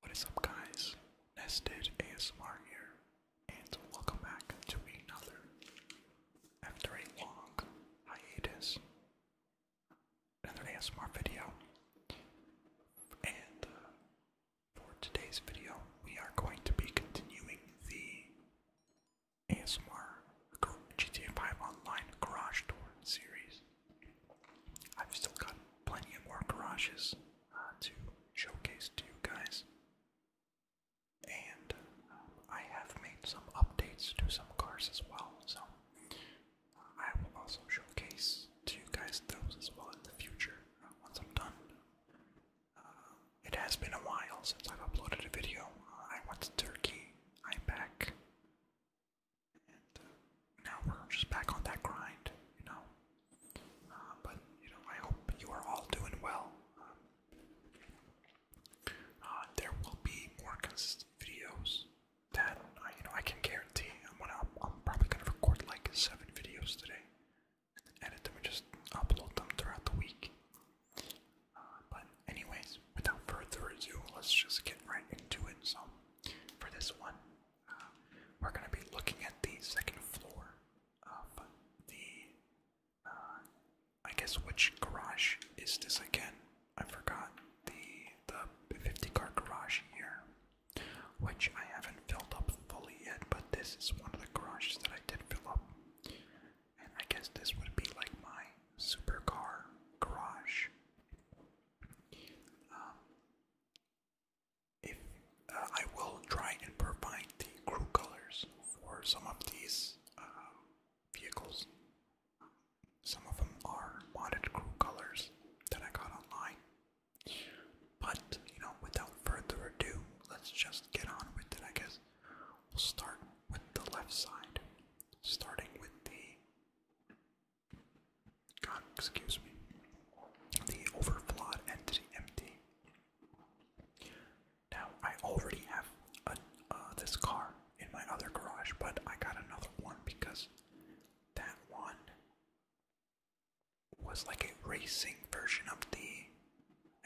What is up guys, Nested ASMR here, and welcome back to another, after a long hiatus, another ASMR video. And uh, for today's video, we are going to be continuing the ASMR GTA 5 Online Garage Tour series. I've still got plenty of more garages uh, to showcase to you guys. And uh, I have made some updates to some cars as well, so uh, I will also showcase to you guys those as well in the future once I'm done. it has been a while since I've uploaded a video. I went to Turkey. I'm back. Uh, now we're just back on that grind, you know. Uh, but you know, I hope you are all doing well. Um, uh, there will be more consistent videos that uh, you know I can guarantee. I'm gonna, I'm probably gonna record like seven videos today, and edit them and just upload them throughout the week. but anyways, without further ado, let's just get right into it. So, for this one, we're going to be looking at the second floor of the. Uh, I guess which garage is this again? I forgot the the 50 car garage here, which I haven't filled up fully yet. But this is one of the garages that I did fill up, and I guess this would be like my super car garage. Um, if uh, I will try and provide the crew colors for some of these um, vehicles. Some of them are modded crew colors that I got online. But, you know, without further ado, let's just get on with it, I guess. We'll start with the left side, starting with the God, excuse me. The overflawed entity empty. Now, I already have uh, this car in my other garage, but I got another one because that one was like a racing version of the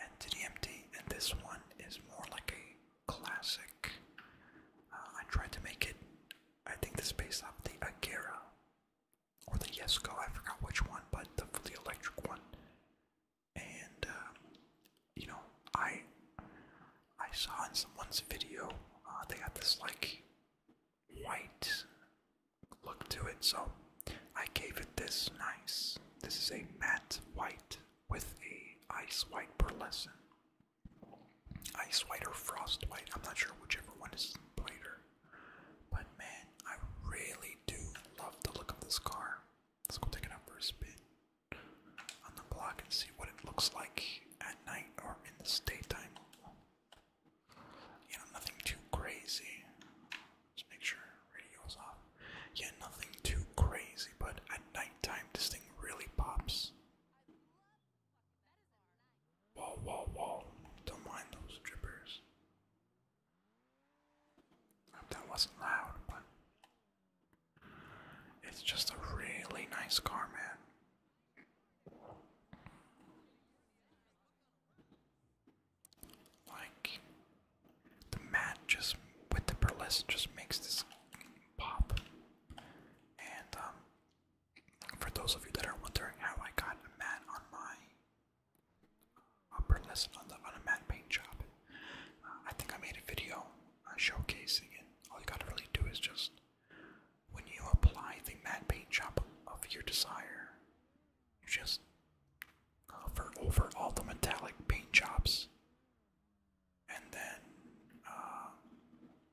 Entity Empty, and this one is more like a classic. Uh, I tried to make it I think this is based off the Agera or the Yesco, I forgot which one, but the the electric one. And um, you know, I I saw in someone's video uh, they got this like white look to it, so I gave it this nice. This is a matte white with a ice white pearlescent Ice White or Frost White. I'm not sure whichever one is lighter. But man, I really do love the look of this car. Let's go take it out for a spin on the block and see what it looks like at night or in the daytime. You know, nothing too crazy. Just make sure radio's off. Yeah, nothing too crazy, but at nighttime this thing really pops. Whoa, whoa, whoa. Don't mind those drippers. That wasn't loud, but it's just a really nice car, man. Like the mat just with the burlesque just makes this pop, and um, for those of you that are wondering how I got a mat on my upper lesson on, the, on a matte paint job, uh, I think I made a video uh, showcasing it. All you gotta really do is just when you apply the matte paint job of your desire, you just hover over all the metallic paint jobs and then uh,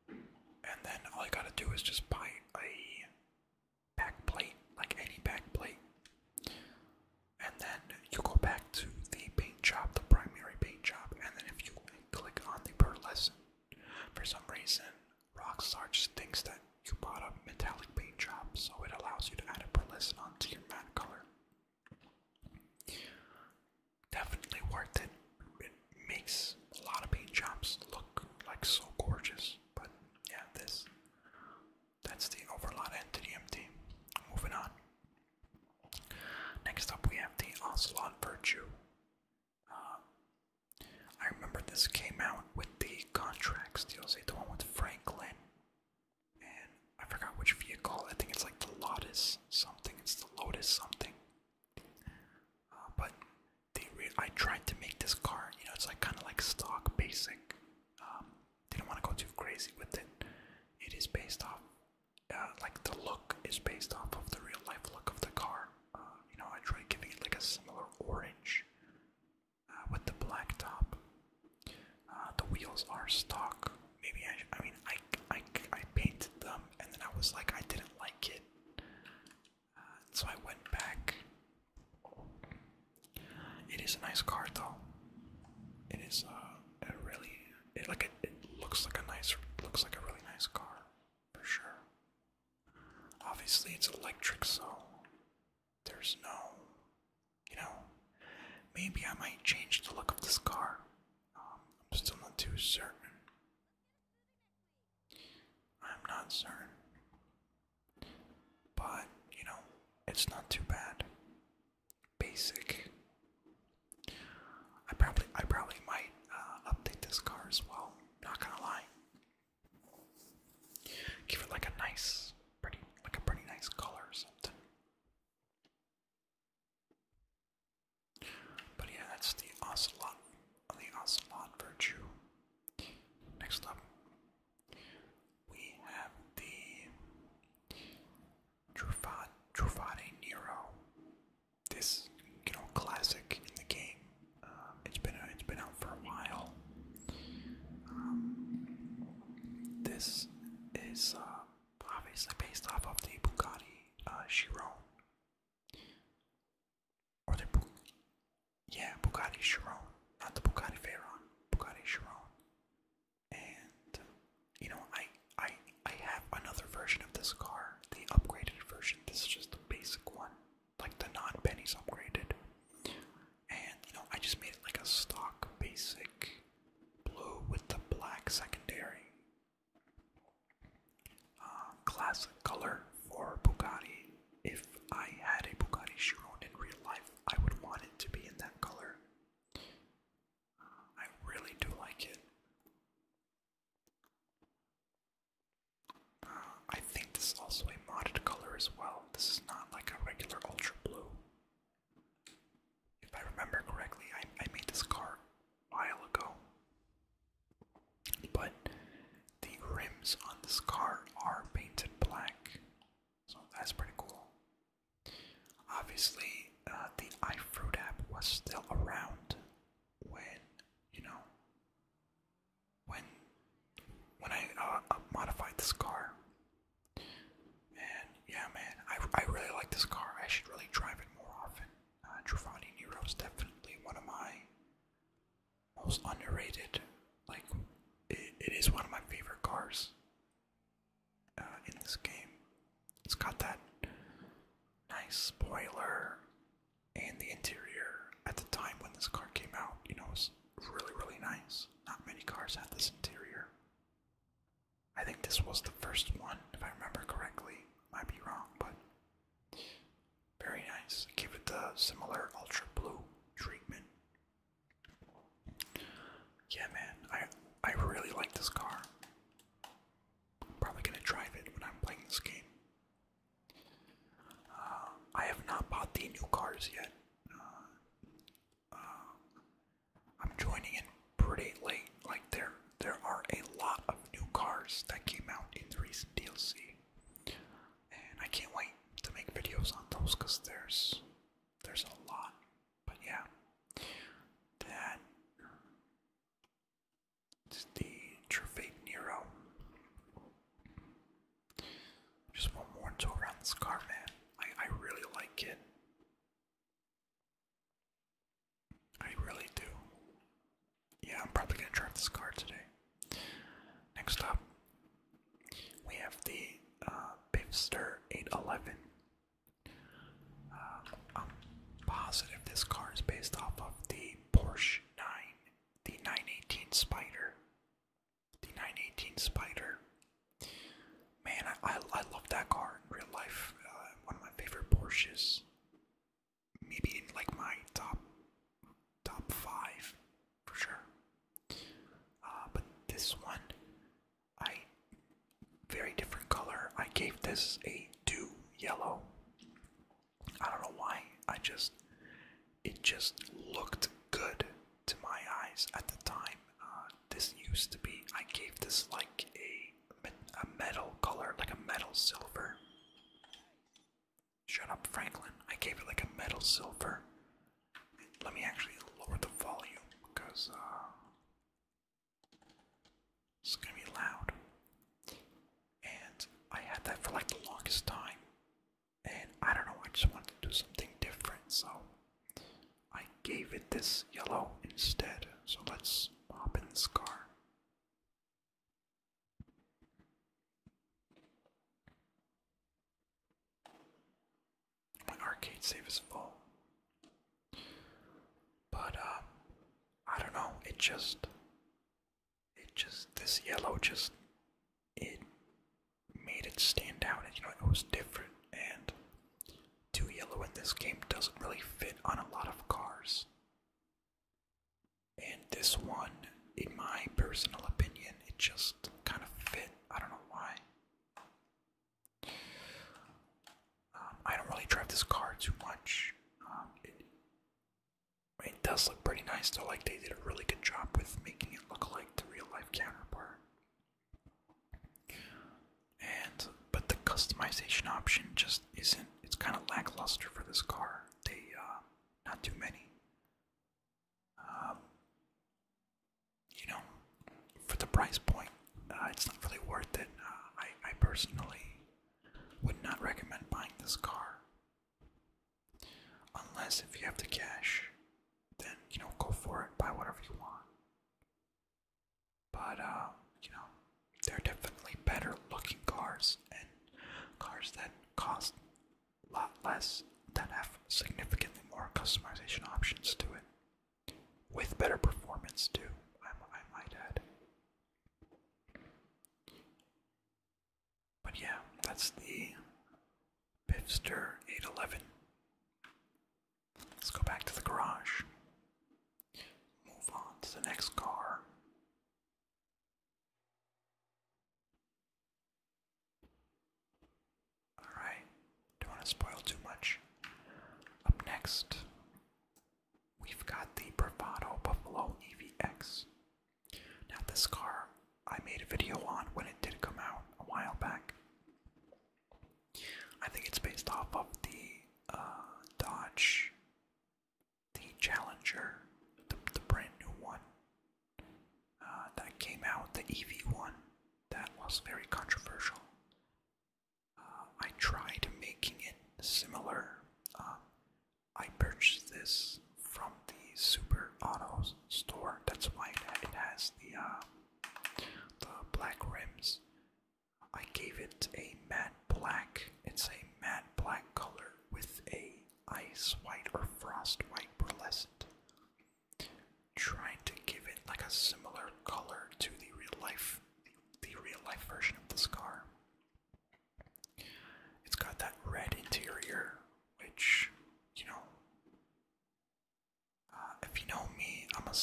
and then all you gotta do is just buy a backplate, like any backplate, And then you go back to the paint job, the primary paint job, and then if you click on the pearlescent, for some reason, Rockstar just thinks that you bought a metallic paint job, so it allows you to add a pearlescent onto your matte color. Definitely worth it. It makes a lot of paint jobs look like so gorgeous. But yeah, this that's the overlot entity empty. Moving on. Next up we have the Ocelot Virtue. Um, I remember this came out with the contracts DLC, the one with Franklin. And I forgot which vehicle. I think it's like the Lotus something. It's the Lotus something. Uh, but they I tried to make this car, you know, it's like kind of like stock basic. Um, didn't want to go too crazy with it. It is based off, uh, like the look is based off of the real life look of the car. Uh, you know, I tried giving it like a similar orange uh, with the black top. the wheels are stock. Maybe I, I mean, I, I, I painted them and then I was like, I didn't like it so I went back. It is a nice car, though. It is uh, a really like it, it looks like a nice looks like a really nice car for sure. Obviously, it's electric, so there's no, you know, maybe I might change the look of this car. Um, I'm still not too certain. I'm not certain. But, you know, it's not too bad. Basic. I probably I probably might uh, update this car as well, not gonna lie. Give it like a nice pretty like a pretty nice color or something. But yeah, that's the ocelot, the ocelot virtue. Next up, we have the Truffaut, Nero. This, you know, classic in the game. Um, it's been it's been out for a while. Um, this is uh, obviously based off of the Bugatti uh, Chiron. Or the Bu yeah, Bugatti Chiron, not the Bugatti Veyron, Bugatti Chiron. And you know, I I I have another version of this car, the upgraded version. This is just the basic one, like the non-pennies upgraded. And you know, I just made it like a stock basic blue with the black secondary uh, classic color for Bugatti. If I had a Bugatti Chiron in real life, I would want it to be in that color. Uh, I really do like it. Uh, I think this is also a modded color as well. This is not like a regular ultra blue. If I remember correctly, I made this car a while ago. But the rims on this car are painted black, so that's pretty cool. Obviously, uh, the iFruit app was still around when you know when when I uh, modified this car. And yeah, man, I I really like this car. I should really drive it more often. Uh, Nero is definitely one of my most underrated. Like, it is one of my favorite cars uh, in this game. It's got that nice spoiler, and the interior at the time when this car came out, you know, it was really, really nice. Not many cars had this interior. I think this was the first one, if I remember correctly. Might be wrong, but very nice. Give it the uh, similar ultra blue treatment. Yeah, man, I I really like this car. I'm probably gonna drive it when I'm playing this game. Uh, I have not bought the new cars yet. Uh, I'm joining in pretty late, like they there are a lot of new cars that came out in the recent DLC, and I can't wait to make videos on those because there's there's a lot. But yeah, that is the Trevate Nero. Just one more to around this car, man. I I really like it. I really do. Yeah, I'm probably gonna draft this card today. Next up, we have the uh, 811. Um, I'm positive this card is based off of the Porsche 9, the 918 Spider. The 918 Spider. Man, I, love that car in real life. Uh, one of my favorite Porsches maybe like my top top five for sure. Uh, but this one, I very different color. I gave this a do yellow. I don't know why. I just it just looked good to my eyes at the time. Uh, this used to be. I gave this like a a metal color, like a metal silver. Shut up, Franklin. I gave it like a metal silver. Let me actually lower the volume because uh, it's gonna be loud. And I had that for like the longest time. And I don't know, I just wanted to do something different, so I gave it this yellow instead. So let's hop in this car. My arcade save is full. But um I don't know, it just it just this yellow just it made it stand out and you know it was different and too yellow in this game doesn't really fit on a lot of cars. And this one, in my personal opinion, it just kind of fit. I don't know why. Um, I don't really drive this car too much. Um, it, does look pretty nice, though. Like they did a really good job with making it look like the real life counterpart. And but the customization option just isn't. It's kind of lackluster for this car. They, uh, not too many. Um, you know, for the price point, uh, it's not really worth it. Uh, I personally would not recommend buying this car. Unless if you have the cash, then, you know, go for it, buy whatever you want. But, um, you know, they're definitely better looking cars and cars that cost a lot less that have significantly more customization options to it. With better performance, too, I, might add. But yeah, that's the Bivster 811. Let's go back to the garage. Move on to the next car. Alright, don't want to spoil too much. Up next, we've got the Bravado Buffalo EVX. Now, this car I made a video on when it did come out a while back. I think it's based off of the uh, Dodge the Challenger, the, brand new one uh, that came out, the EV one, that was very controversial. Uh, I tried making it similar. Um, I purchased this from the Super Autos store. That's why it, has the uh, the black rims. I gave it a matte black. It's a matte black color with a ice white or frost white pearlescent. Trying to give it like a similar color to the real life, the, real life version of the scar. It's got that red interior, which you know. Uh, if you know me, I'm a,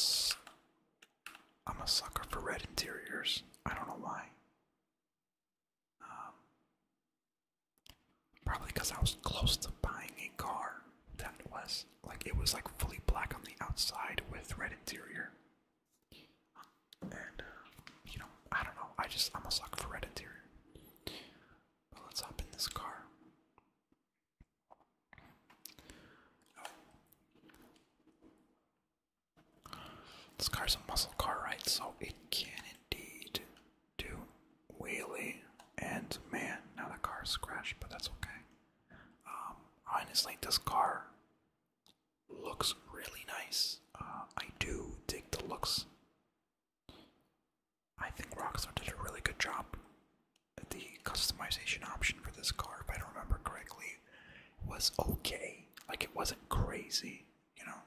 I'm a sucker for red interiors. I don't know why. Um, probably because I was close to buying a car that was like it was like fully black on the outside with red interior. And you know, I don't know. I just I'm a sucker for red interior. let's hop in this car. This car's a muscle car, right? So it can indeed do wheelie. And man, now the car is scratched, but that's okay. Um, honestly, this car looks really nice. Uh, I do dig the looks. I think Rockstar did a really good job. The customization option for this car, if I don't remember correctly, was okay. Like it wasn't crazy, you know.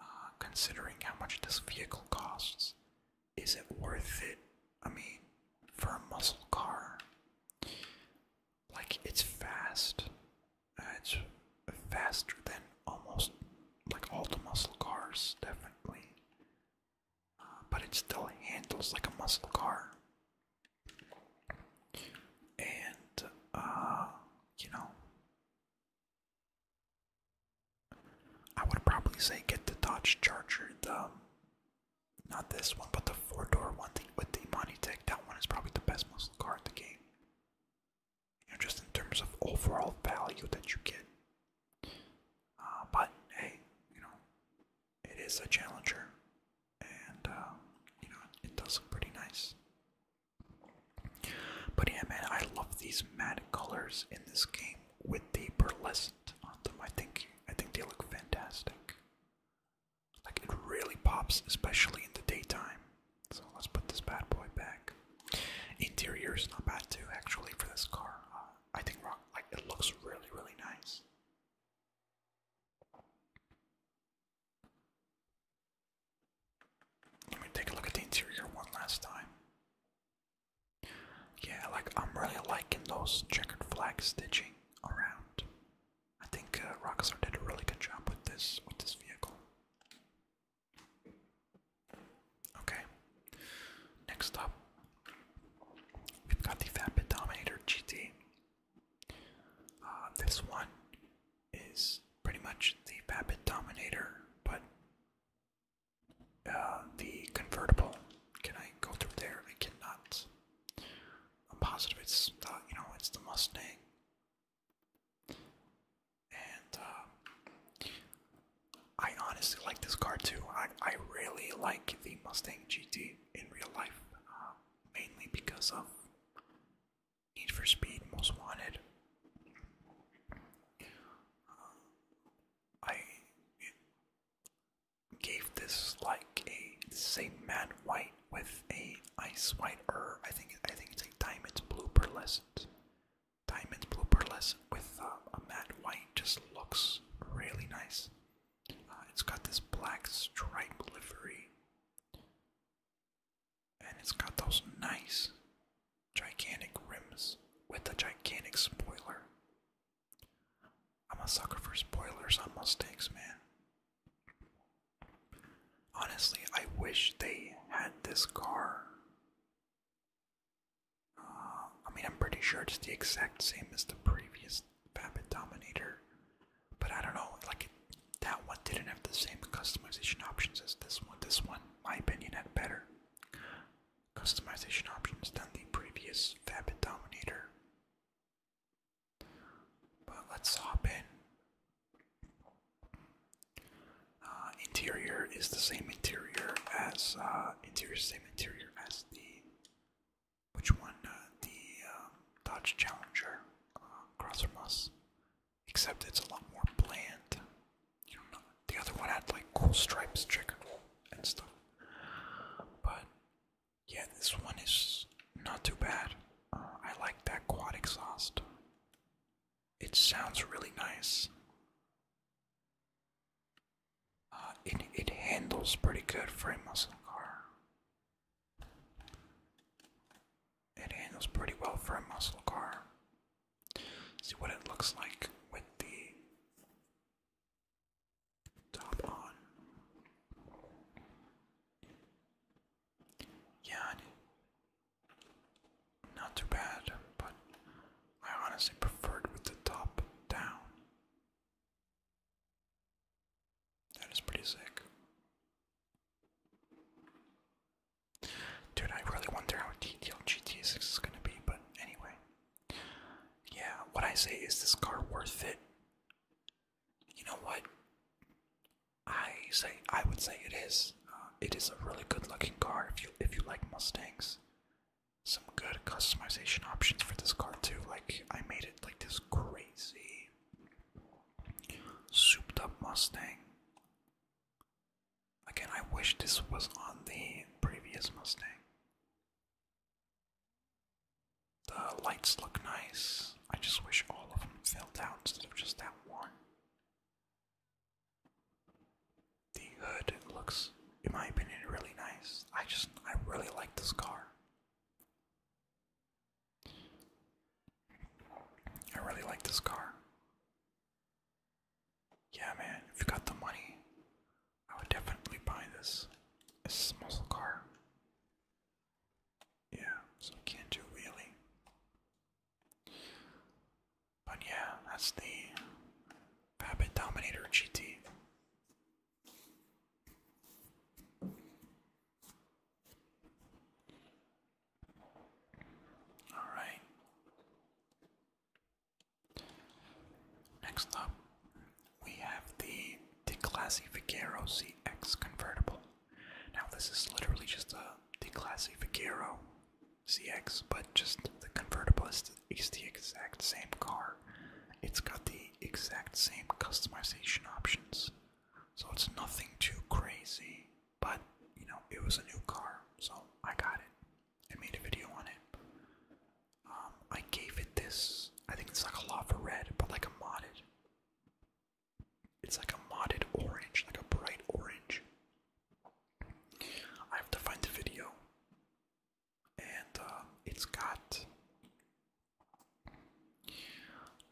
Uh, considering how much this vehicle costs, is it worth it? I mean, for a muscle car, like it's fast. Uh, it's faster than almost like all the muscle cars, definitely. Uh, but it still handles like a muscle car and uh you know I would probably say get the Dodge Charger, the um, not this one, but the four-door one the, with the money Monitech. That one is probably the best muscle car in the game. just in terms of overall value that you get. Uh, but hey, you know, it is a Challenger, and um, you know it does look pretty nice. But yeah, man, I love these matte colors in this game with the pearlescent on them. I think I think they look fantastic. Like it really pops, especially in the daytime. So let's put this bad boy back. Interior is not bad too, actually, for this car. Uh, I think rock like it looks really, really nice. Let me take a look at the interior one last time. Yeah, like I'm really liking those checkered flag stitching around. I think uh, Rockstar did a really good job with this with this vehicle. Okay. Next up, we've got the Vapid Dominator GT. Uh, this one is pretty much the Babbitt Dominator, but uh, the convertible. Can I go through there? I cannot. I'm positive it's the, uh, you know it's the Mustang. And uh, I honestly like this car too. I I really like the Mustang GT in real life mainly because of Need for Speed Most Wanted. Uh, I gave this like a same matte white with a ice white, or I think I think it's a diamond blue pearlescent. Diamond blue pearlescent with uh, a matte white just looks really nice. Uh, it's got this black stripe livery, and it's got those nice gigantic rims with a gigantic spoiler. I'm a sucker for spoilers on Mustangs, man. Honestly, I wish they had this car. Uh, I mean, I'm pretty sure it's the exact same as the previous Babbitt Dominator. But I don't know, like that one didn't have the same customization options as this one. This one, my opinion, had better customization options than the previous Fabit Dominator. But let's hop in. Uh, interior is the same interior as uh, interior, same interior as the which won uh, the um, Dodge Challenger uh, across from us. Except it's a lot more bland. the other one had like cool stripes, checkered and stuff. But yeah, this one is not too bad. Uh, I like that quad exhaust. It sounds really nice. Uh, it it handles pretty good for a muscle car. It handles pretty well for a muscle car. See what it looks like with the top on. Yeah, not too bad, but I honestly preferred with the top down. That is pretty sick. Dude, I really wonder how detailed GT 6 is gonna be, but anyway. Yeah, what I say is this car worth it? You know what? I say I would say it is. Uh, it is a really good looking car if you if you like Mustangs. Some good customization options for this car too. Like I made it like this crazy Souped up Mustang. Again, I wish this was on the previous Mustang. The lights look nice. I just wish all of them fell out instead of just that one. The hood looks, in my opinion, really nice. I just, I really like this car. I really like this car. Yeah, man, if you got the money, I would definitely buy this. This muscle car. Yeah, so can't do really. But yeah, that's the Babbitt Dominator GT. All right. Next up, we have the DeClassificero CX convertible. Now, this is literally just a DeClassificero CX, but just the convertible is the, is the exact same car. It's got the exact same customization options. So it's nothing too crazy, but you know, it was a new car, so I got it. I made a video on it. Um, I gave it this, I think it's like a lava red, but like a modded. It's like a modded orange, like a bright orange. I have to find the video. And uh, it's got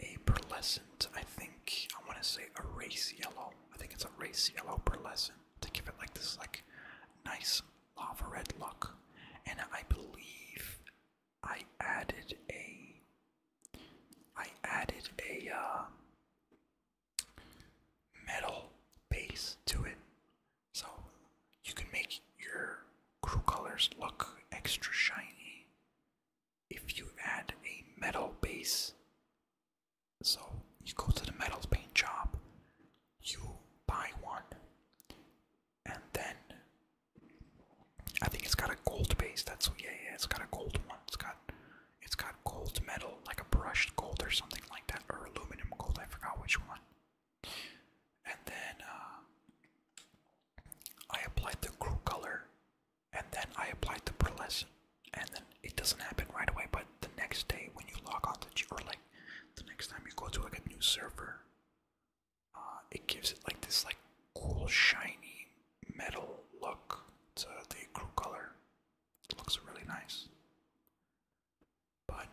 a pearlescent, I think I want to say a race yellow. I think it's a race yellow pearlescent to give it like this like nice lava red look. And I believe I added a I added a uh, metal base to it. So you can make your crew colors look extra shiny if you add a metal base. So you go to the metals paint shop, you buy one, and then I think it's got a gold base. That's yeah, yeah. It's got a gold one. It's got it's got gold metal, like a brushed gold or something like that, or aluminum gold. I forgot which one. And then uh, I applied the crew color and then I applied the pearlescent and then it doesn't happen right away but the next day when you log on to or like the next time you go to like a new server uh, it gives it like this like cool shiny metal look to the crew color it looks really nice but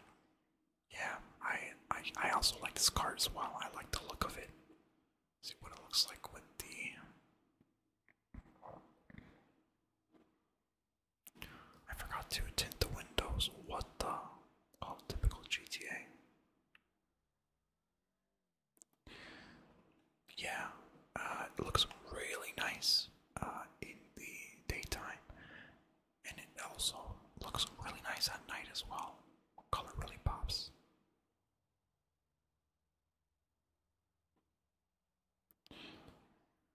yeah, I, I I also like this car as well. I like the look of it. see what it looks like with the. I forgot to tint the windows. What the? Oh, typical GTA. Yeah, uh, it looks really nice uh, in the daytime, and it also looks really nice at night as well color really pops.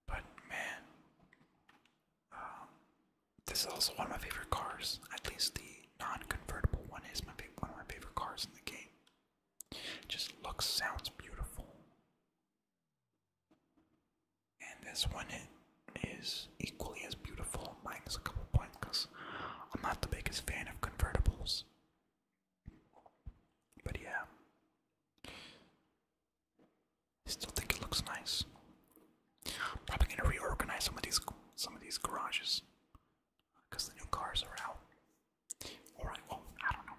But man, um, this is also one of my favorite cars. At least the non-convertible one is one of my favorite cars in the game. It just looks, sounds beautiful. And this one, is equally as beautiful, minus a couple points, because I'm not the biggest fan of convertibles. But yeah. I still think it looks nice. probably gonna reorganize some of these some of these garages. Because the new cars are out. Alright, well, I don't know.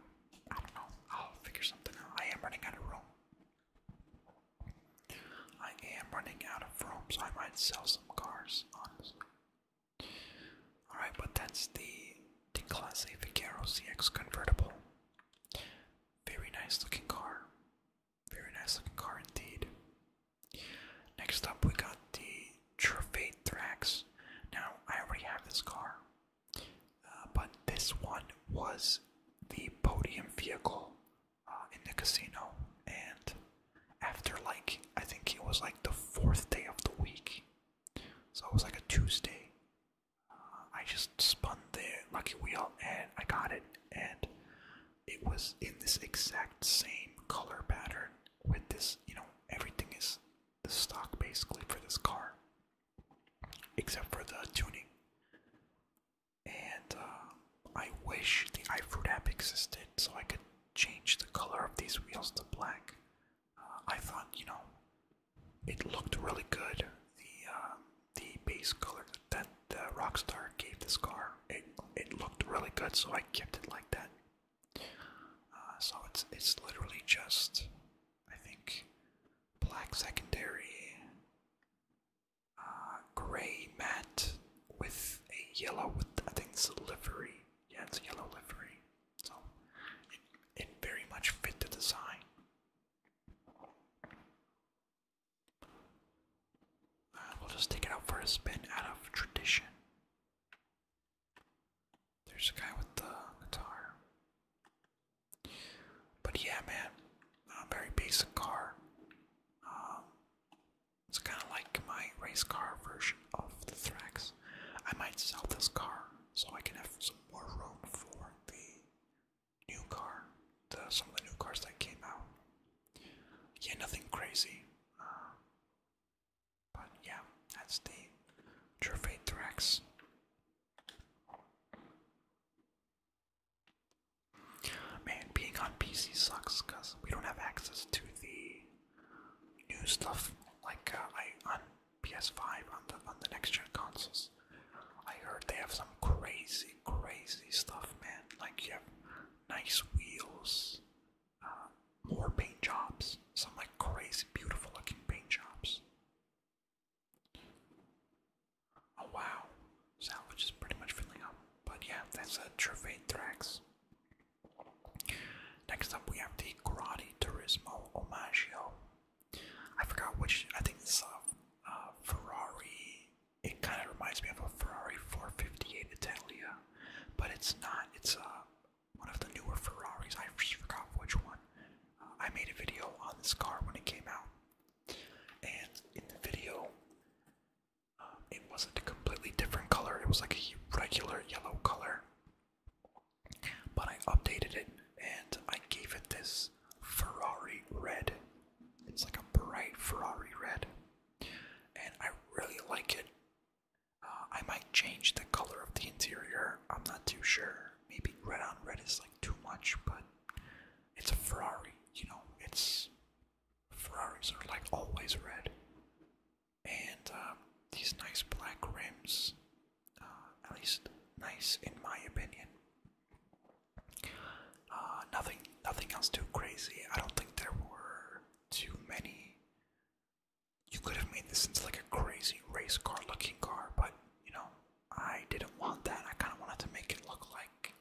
I don't know. I'll figure something out. I am running out of room. I am running out of room, I might sell some cars, honestly. Alright, but that's the, the Class CX convertible. Very nice looking car. Very nice looking car indeed. Next up, we got the Trofate Thrax. Now, I already have this car, uh, but this one was the podium vehicle uh, in the casino, and after like I think it was like the fourth day of the week, so it was like a Tuesday. Uh, I just spun the lucky wheel and I got it, and it was in this exact same color pattern with this. You know, everything is the stock basically for this car, except for the tuning. And um, I wish the iFruit app existed so I could change the color of these wheels to black. Uh, I thought, you know, it looked really good. The uh, the base color that the Rockstar gave this car, it it looked really good, so I kept it like that. Uh, so it's it's literally just, I think, black secondary, uh, gray matte with a yellow, with, I think it's a livery. Yeah, it's a yellow livery. So it, it very much fit the design. Uh, we'll just take it out for a spin out of tradition. There's a guy with the guitar. But yeah, man, a very basic car. Um, it's kind of like my race car version of the Thrax. I might sell this car so I can have some more room for the new car, the, some of the new cars that came out. Yeah, nothing crazy. Uh, but yeah, that's the Gervais Thrax. Man, being on PC sucks because we don't have access to the new stuff like uh, on PS5 on the on the next gen consoles. I heard they have some crazy, crazy stuff, man. Like you have nice wheels, uh, more paint jobs, some like crazy, beautiful looking paint jobs. Oh wow, salvage is pretty much filling up. But yeah, that's a Trevade Thrax. Next up, we have the Karate Turismo Omaggio. I forgot which, I think it's a Ferrari. It kind of reminds me of a Ferrari 458 Italia, but it's not. It's uh, one of the newer Ferraris. I forgot which one. Uh, I made a video on this car when it came out, and in the video, um, it wasn't a completely different color, it was like a regular yellow color. But I updated it and I gave it this Ferrari red. It's like a bright Ferrari red. And I really like it. Uh, I might change the color of the interior, I'm not too sure. Maybe red on red is like too much, but it's a Ferrari, you know, it's Ferraris are like always red, and um, these nice black rims, uh, at least nice in my opinion. Uh, nothing, nothing else too crazy. I don't think there were too many. You could have made this into like a crazy race car looking car, but you know, I didn't want that. I kind of wanted to make it look like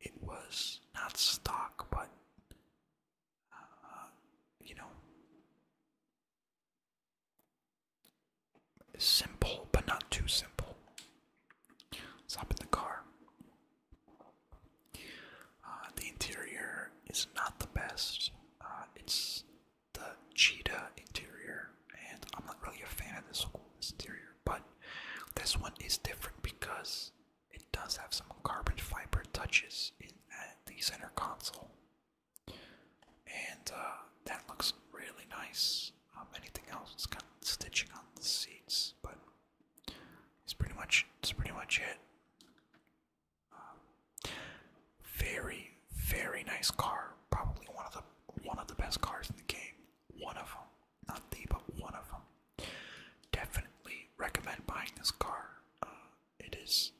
it was not stock, but uh, you know, simple, but not too simple. Stop in the car. Uh, the interior is not the best. Uh, it's the cheetah interior, and I'm not really a fan of this, this interior, but this one is different because it does have some carbon fiber touches in at the center console, and uh, that looks really nice. Um, anything else? It's got stitching on the seats, but it's pretty much it's pretty much it. Um, very very nice car, probably one of the one of the best cars in the game. One of them not the, but one of them. Definitely recommend buying this car. Uh, it is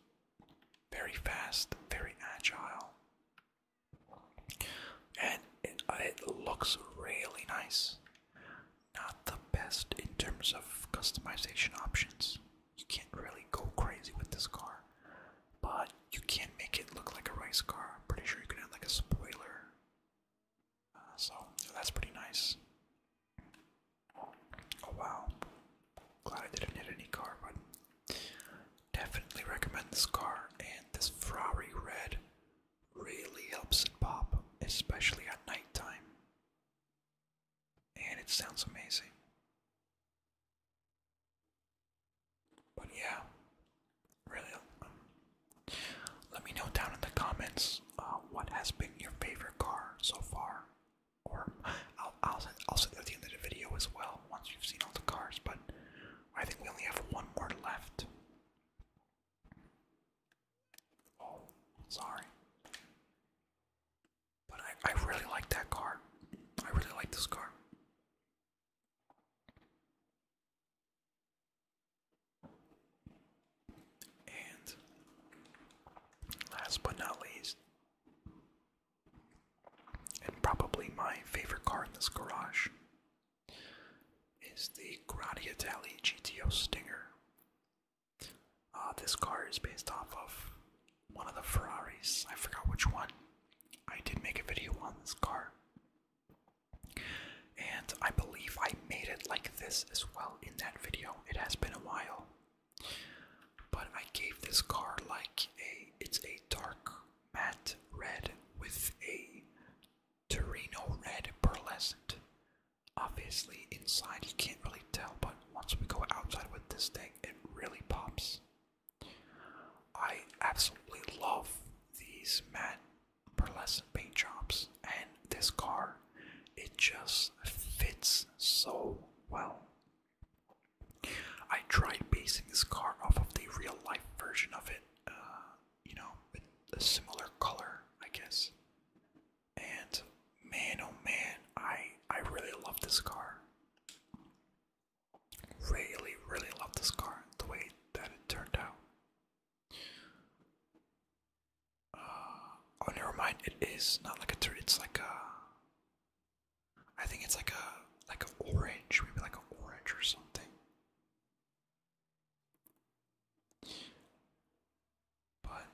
very fast, very agile, and it, uh, it looks really nice. Not the best in terms of customization options. You can't really go crazy with this car, but you can make it look like a race car. I'm pretty sure you can add like a spoiler so that's pretty nice. Oh wow. Glad I didn't hit any car, but definitely recommend this car and this Ferrari red really helps it pop, especially at nighttime. And it sounds amazing. But yeah, really, um, let me know down in the comments uh, what has been your favorite car so far. Or I'll I'll I'll say at the end of the video as well once you've seen all the cars. But I think we only have one more left. Oh, sorry. But I I really like that car. I really like this car. And last but not least, and probably my favorite car in this garage, is the Gradia Tally GTO Stinger. Uh, this car is based off of one of the Ferraris. I forgot which one. I did make a video on this car. And I believe I made it like this as well in that video. It has been a while. But I gave this car like a it's a dark matte red with a Torino red pearlescent. Obviously inside you can't really tell, but once we go outside with this thing, it really pops. I absolutely love these men per paint jobs. And this car, it just fits so well. I tried basing this car off of the real life version of it, uh, you know, with a similar color, I guess. And man, oh man, I I really love this car. Really, really love this car, the way that it turned out. Uh, oh, never mind. It is not like a turd. It's like a. I think it's like a like an orange, maybe like an orange or something. But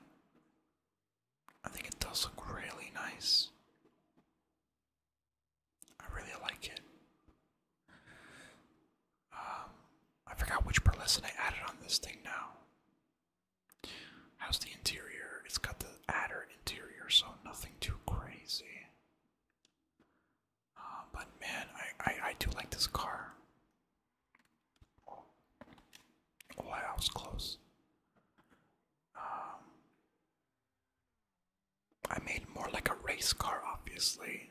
I think it does look really nice. I really like it. Um, I forgot which burlesque I added on this thing now. How's the interior? It's got the adder interior, so nothing too crazy. Uh, but man, I, I, I do like this car. Oh, was close. Um, I made more like a race car, obviously.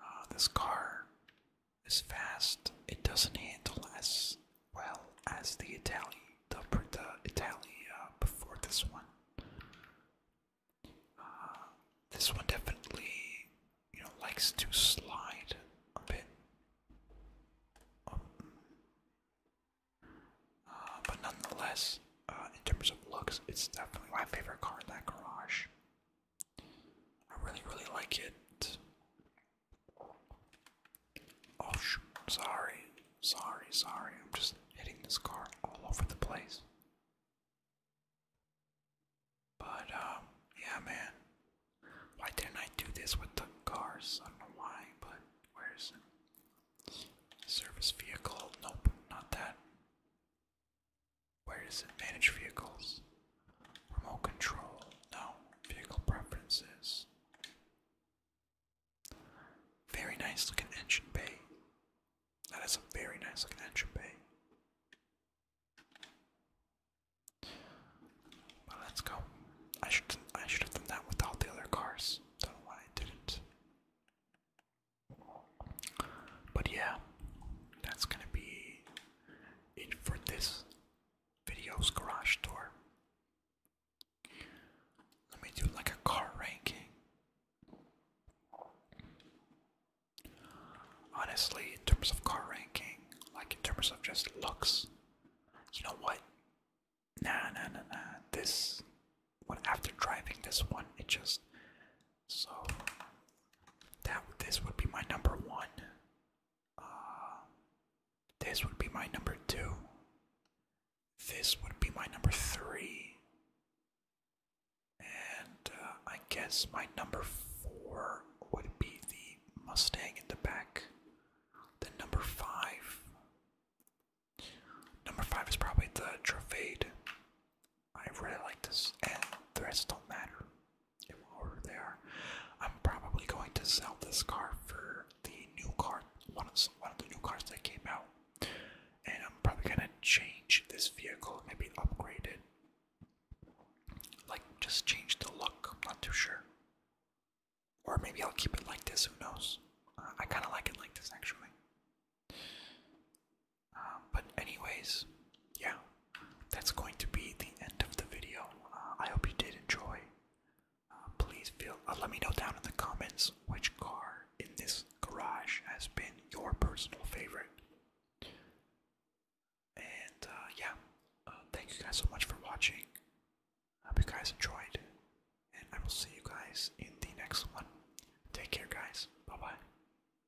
Ah, this car is fast. It doesn't handle as well as the Italian, the, the Italia before this one. Ah, this one definitely, you know, likes to slide a bit. Um, ah, but nonetheless, uh, in terms of looks, it's definitely my favorite car in that garage. I really, really like it. Oh, Sorry. Sorry, sorry. I'm just hitting this car all over the place. But, um, yeah, man. Why didn't I do this with the cars? I don't know why, but where is it? Service vehicle. Nope, not that. Where does it? Manage vehicles. Remote control. No. Vehicle preferences. Very nice looking engine bay. That is a very nice looking engine bay. let's go. I should I should have done that with all the other cars. Don't know why I didn't. But yeah, that's gonna be it for this video's garage tour. Let me do like a car ranking. Honestly, in terms of car ranking, like in terms of just looks, you know what? Nah, nah, nah, nah. This, one, after driving this one, it just so that this would be my number one. Uh, this would be my number two. This would be my number three. And uh, I guess my number four would be the Mustang in the back. The number five. Number five is probably the Trevade. I really like this, and the rest don't matter in they are. I'm probably going to sell this car for the new car, one of, one of the new cars that came out, and I'm probably gonna change this vehicle, maybe upgrade it, like just change the look. I'm not too sure, or maybe I'll keep it like this. Who knows? Uh, I kind of like it like this actually. Um, but anyways, yeah, that's going to be the end of the video. Uh, I hope you did enjoy. Uh, please feel uh, let me know down in the comments which car in this garage has been your personal favorite. And yeah, thank you guys so much for watching. I hope you guys enjoyed, and I will see you guys in the next one. Take care, guys. Bye bye.